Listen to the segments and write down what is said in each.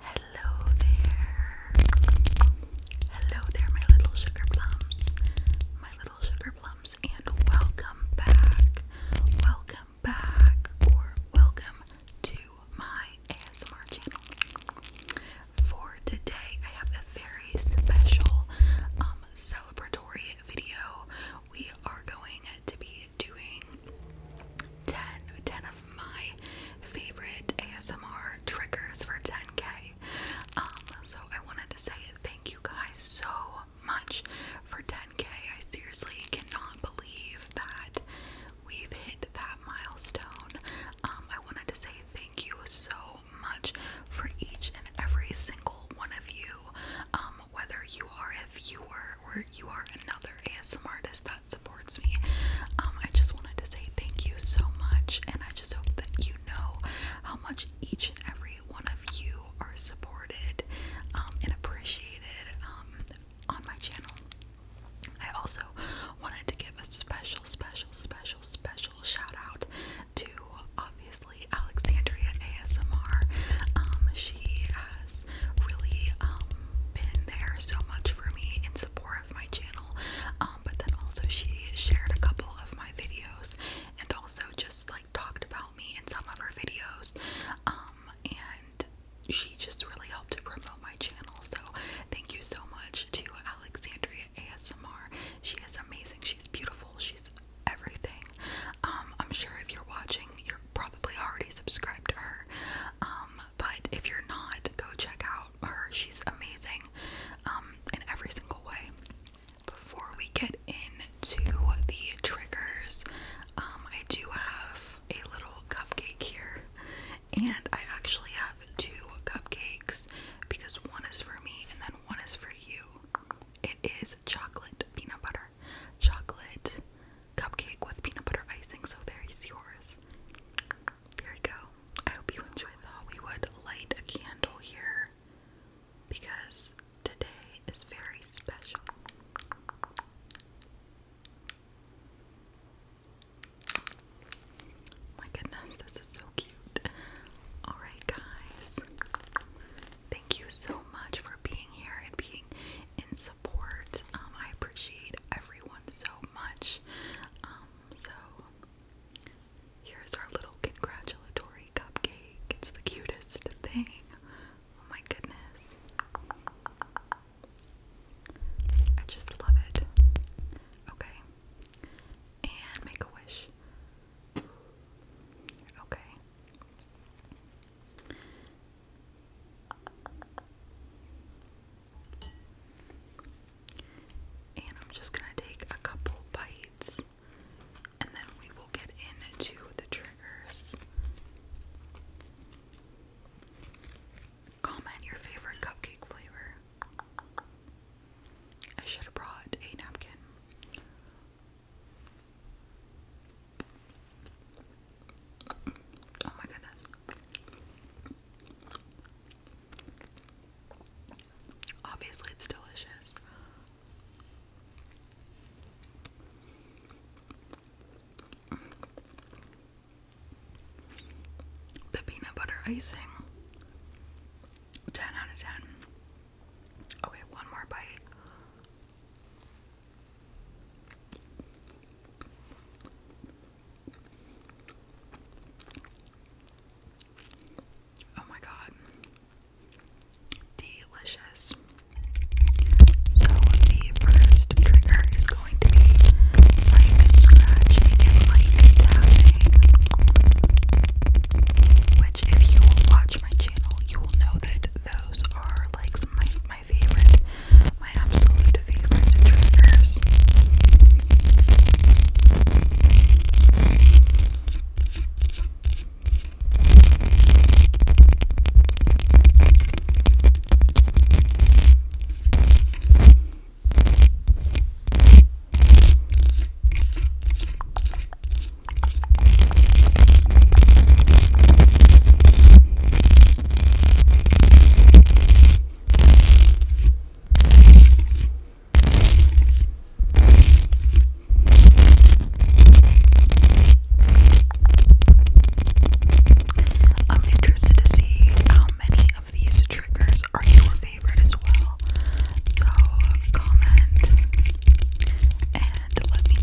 Hello there. Hello there, my little sugar plums. My little sugar plums, and welcome back. Welcome back, or welcome to my ASMR channel. For today, I have a very special um, celebratory video. We are going to be doing 10, of my favorite ASMR triggers for 10k. Um, so I wanted to say thank you guys so much for 10k. I seriously cannot believe that we've hit that milestone. Um, I wanted to say thank you so much for each and every single one of you. Um, um, whether you are if you are, or you are another ASMR artist that supports me. Um, I just wanted to say thank you so much, and I just hope that you know how much each and every one of you are supported um, and appreciated on my channel. I also wanted to give a special, special, special, special shout out to obviously Alexandria ASMR. she has really um, been there so much for me in support of my channel. Um, but then also she shared a couple of my videos and also just like talked about me in some of her videos. Um, and she just really helped to promote my channel. So thank you so much to Alexandria ASMR. She is amazing. She's beautiful. She's everything. Um, I'm sure if you're watching, you're probably already subscribed to her. Um, but if you're not, go check out her. She's amazing um, in every single way. Before we get into the triggers, I do have a little cupcake here. And I actually have two cupcakes because one is for me and then one is for you. It is chocolate peanut butter, chocolate cupcake with peanut butter icing. So there you yours. There you go. I hope you enjoyed. Thought we would light a candle here because today is very special. My goodness, this is so cute. Alright, guys, thank you so much for being here and being and support. Um, I appreciate everyone so much. Um, so here's our little congratulatory cupcake. It's the cutest thing. Oh my goodness. I just love it. Okay. And make a wish. Okay. And I'm just going to take a couple bites and then we will get into the triggers. Comment your favorite cupcake flavor. I should have brought a napkin. Oh my goodness. Obviously, it's delicious. The peanut butter icing. 10 out of 10. Okay, one more bite. Oh my god. Delicious. So the first trigger is going to be like scratching and like tapping. Which if you watch my channel, you will know that those are like my, my favorite, my absolute favorite triggers. I'm interested to see how many of these triggers are your favorite as well. So comment and let me know.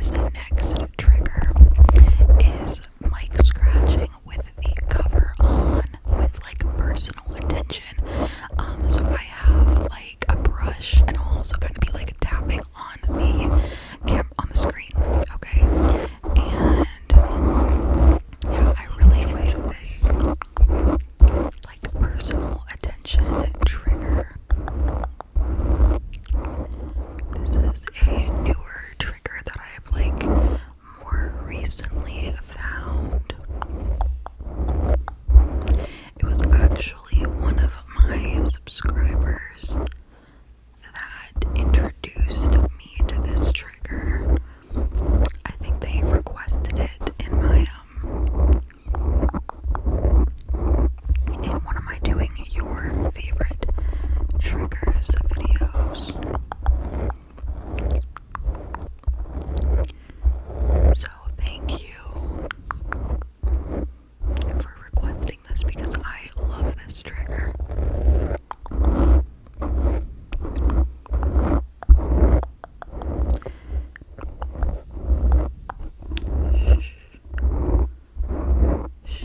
So, this next trigger is mic scratching with the cover on with like personal attention. Um, so I have like a brush and I'll also gonna be like tapping on the cam on the screen, okay? And yeah, I really enjoy this like personal attention trigger. This is a newer trigger that I have like more recently found. It was actually one of my subscribers that introduced me to this trigger. I think they requested it in my um in one of my doing your favorite triggers videos. So, thank you for requesting this because I love this trigger. Shh. Shh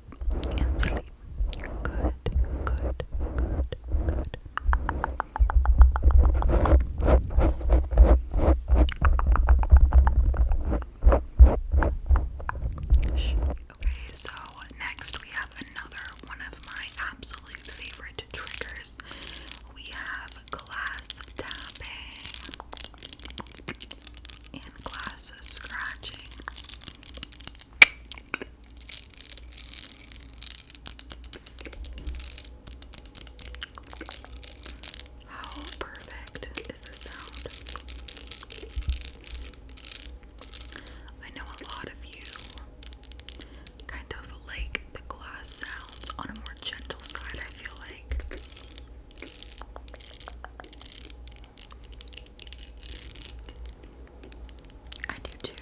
and sleep. Good, good, good, good. Okay, so next we have another one of my absolute favorite triggers. We have glass tapping and glasses scratching. How perfect is the sound? I know a lot of you kind of like the glass sounds on a more gentle side, I feel like. I do too,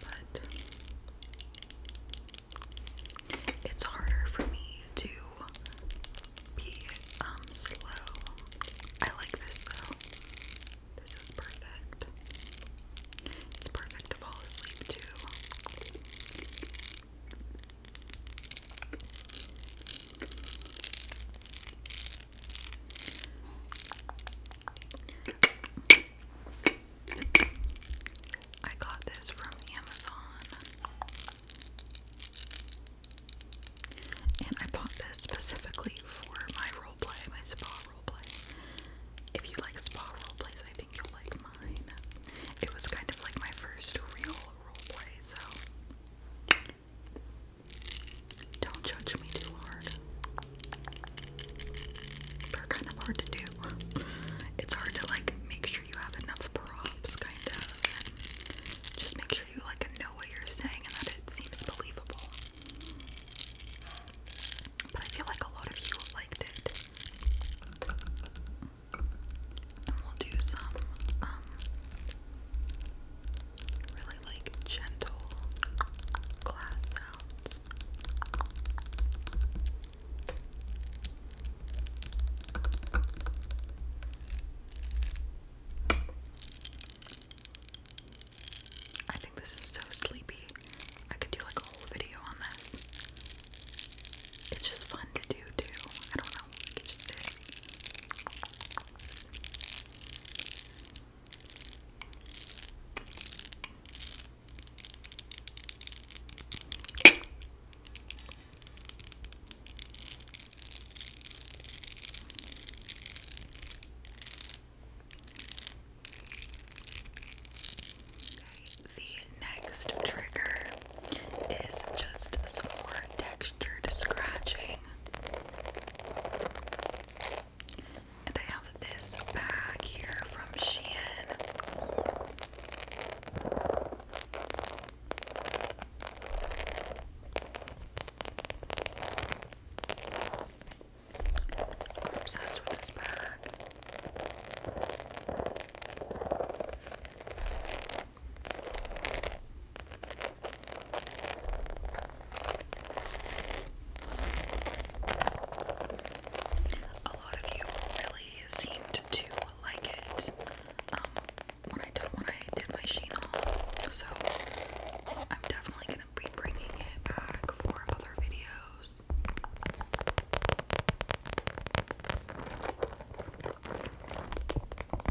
but it's harder for me to be um, slow. I like this though. This is perfect. It's perfect to fall asleep to. I got this from Amazon. And I bought this specifically for my roleplay, my spa roleplay. If you like spa roleplays, I think you'll like mine. It was kind of like my first real roleplay, so don't judge me too hard. They're kind of hard to do. It's hard to like make sure you have enough props, kind of. Just make sure you like know what you're saying and that it seems believable. But I feel like a lot of you liked it and we'll do some um, really like gentle glass sounds. I think this is so sleepy. I could do like a whole video on this. It's just fun to do too. I don't know now. Use this. Okay, the next trigger is just more textured scratching. And I have this bag here from Shein. obsessed with this bag. A lot of you really seemed to like it um, when I did my sheen haul, so I'm definitely gonna be bringing it back for other videos.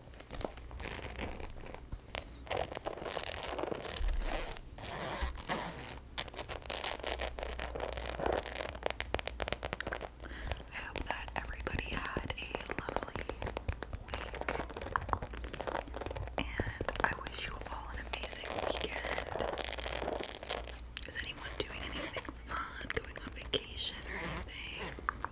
I hope that everybody had a lovely week. And I wish you all an amazing weekend. Is anyone doing anything fun, going on vacation or anything?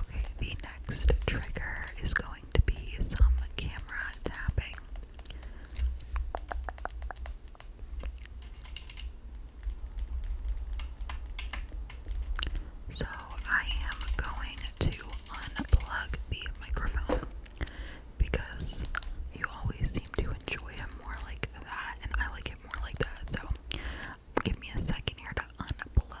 Okay, the next trigger is going to be some camera tapping. So I am going to unplug the microphone because you always seem to enjoy it more like that, and I like it more like that. So, give me a second here to unplug.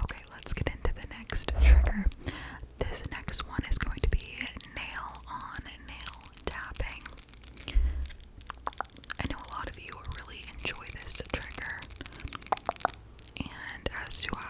Okay, let's get into the next trigger. This next one is going to be nail on nail tapping. I know a lot of you really enjoy this trigger, and as do I.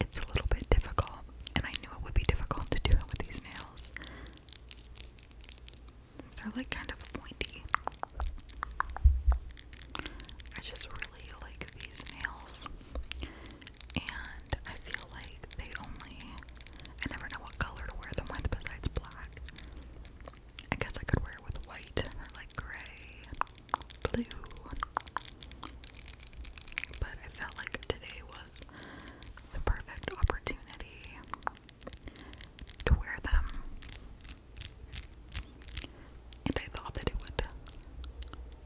It's a little bit difficult, and I knew it would be difficult to do it with these nails. They're like kind of pointy. I just really like these nails, and I feel like they only. I never know what color to wear them with besides black. I guess I could wear it with white or like gray, blue. But I felt like today was the perfect opportunity to wear them. And I thought that it would,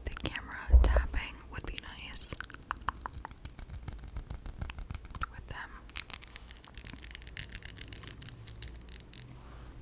the camera tapping would be nice with them.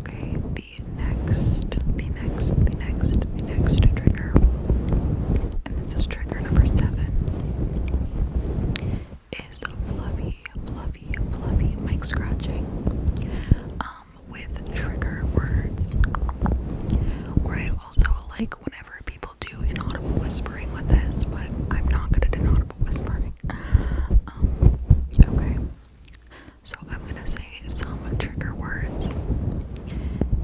Okay, the next, the next, the next, the next trigger and this is trigger number seven, is a fluffy, fluffy, fluffy mic scratching um, with trigger words. Or I also like whenever people do inaudible whispering with this, but I'm not gonna do inaudible whispering. Um, okay. So I'm gonna say some trigger words,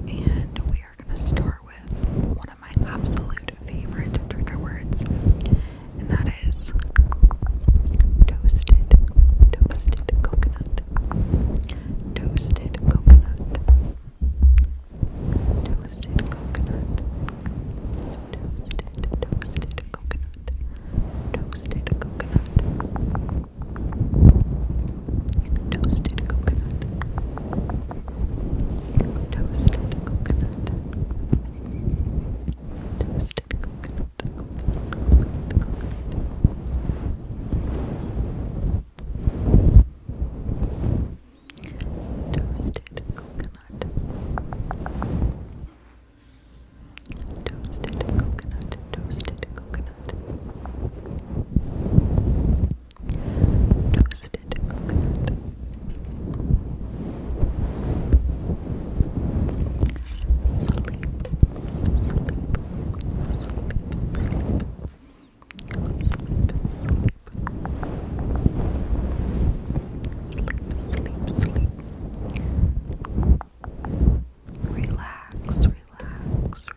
and we are gonna start with my absolute favorite trigger words, and that is toasted, coconut, toasted coconut, toasted coconut, toasted coconut, toasted coconut. Toasted coconut, Toasted coconut. Toasted coconut. Toasted coconut. Coconut, coconut. Toasted coconut. Toasted coconut. Toasted coconut. Toasted coconut. Toasted coconut. Sleep, sleep, sleep, sleep. Sleep, sleep, sleep. Sleep, sleep, sleep. Relax, relax, relax, relax, relax, relax, relax,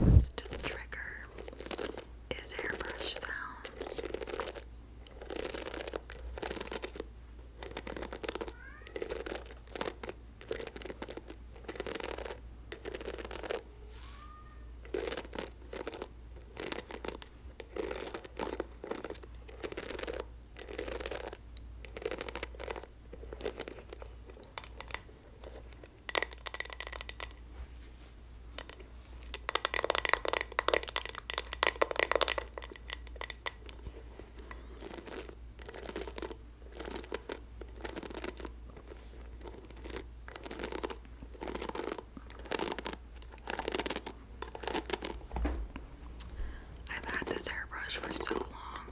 Next trigger is airbrush sounds. I've had this hairbrush for so long.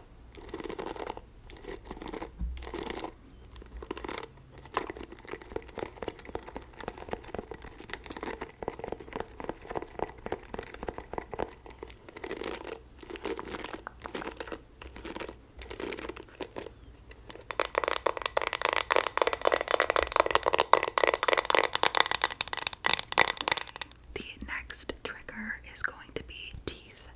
The next trigger is going to be teeth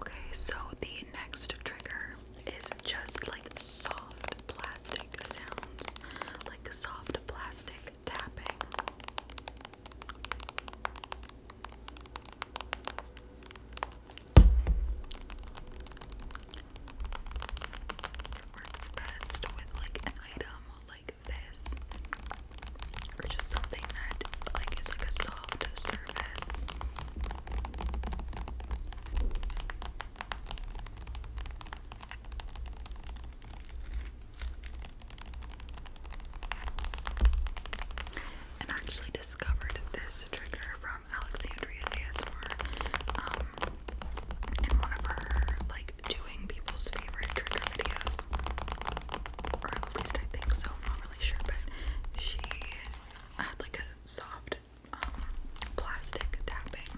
Okay, so the next trigger is just like soft plastic sounds, like soft plastic tapping works best with like an item like this or just something that like is like a soft surface and actually discovered this trigger from Alexandria ASMR um, in one of her like doing people's favorite trigger videos, or at least I think so. I'm not really sure, but she had like a soft um, plastic tapping,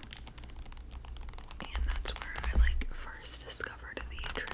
and that's where I like first discovered the trigger.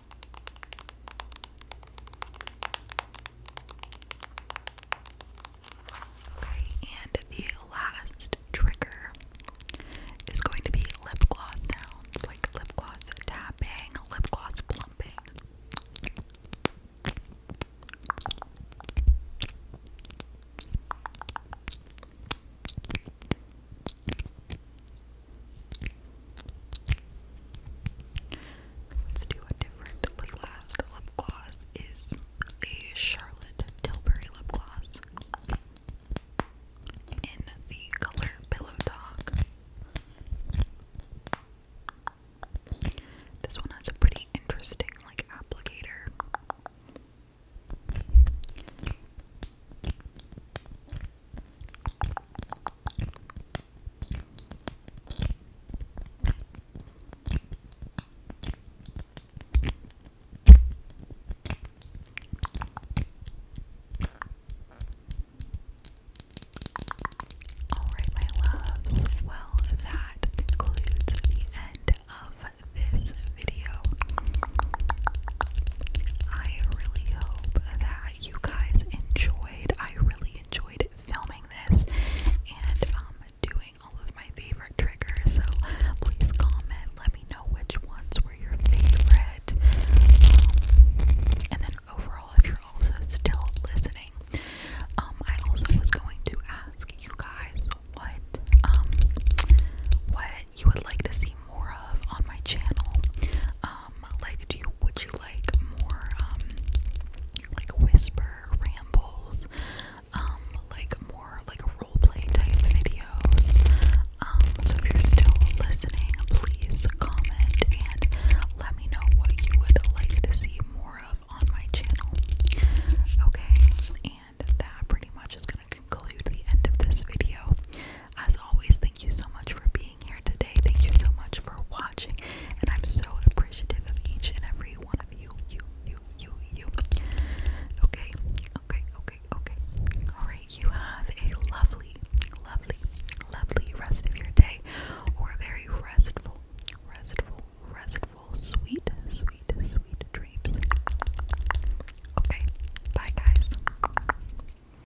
Okay, and the last trigger is going to be lip gloss sounds like lip gloss tapping, lip gloss plumping. Let's do a different. The last lip gloss is a Charlotte Tilbury lip gloss in the color Pillow Talk. This one has a pretty interesting like applicator. All right, my loves. Well, that concludes the end of this video. I really hope that you guys enjoyed. I really enjoyed filming this and um, doing all of my favorite triggers. So please comment. Let me know which ones were your favorite. Um, and then overall, if you're also still listening, um, I also was going to ask you guys what um, what you would like to see more of on my channel um like do you would you like more um like whisper rambles um, like more like role play type videos um, so if you're still listening please comment and let me know what you would like to see more of on my channel okay and that pretty much is going to conclude the end of this video as always, thank you so much for being here today. Thank you so much for watching, and I'm so appreciative of each and every one of you. You, you, you, you. Okay, okay, okay, okay. Alright, you have a lovely, lovely, lovely rest of your day, or a very restful, restful, restful, sweet, sweet, sweet dreams. Okay, bye, guys.